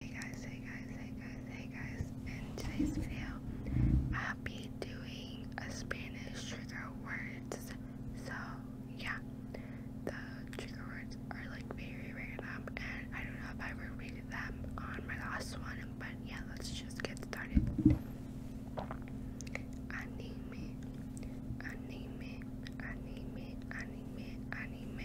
Hey guys, hey guys, hey guys, hey guys. In today's video, I'll be doing a Spanish trigger words. So, yeah, the trigger words are like very random, and I don't know if I repeated them on my last one, but yeah, let's just get started. Anime, anime, anime, anime, anime,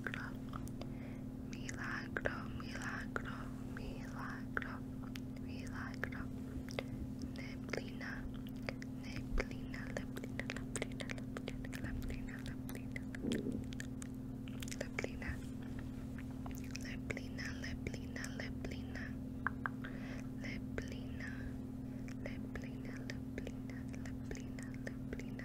milagro, milagro, milagro, milagro, milagro, neblina, neblina, neblina, neblina, neblina, neblina, neblina, neblina, neblina, neblina, neblina, neblina, neblina, neblina, neblina,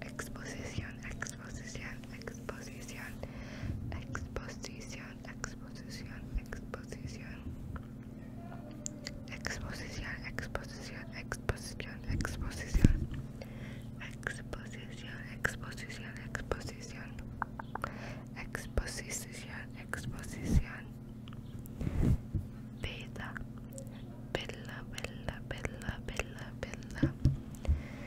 exposición, exposición, exposición, exposición, exposición, exposición, exposición, exposición, exposición, exposición, exposición, exposición, exposición, exposición, exposición, exposición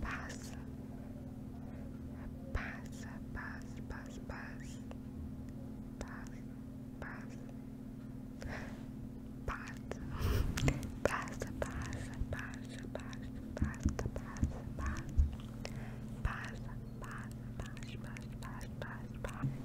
Pass. Pass, pass, pass, pass. Pass, pass. Pass. Pass, pass, pass, pass, pass, pass, pass. Pass, pass, pass, pass, pass, pass, pass. Pass, pass, pass, pass, pass, pass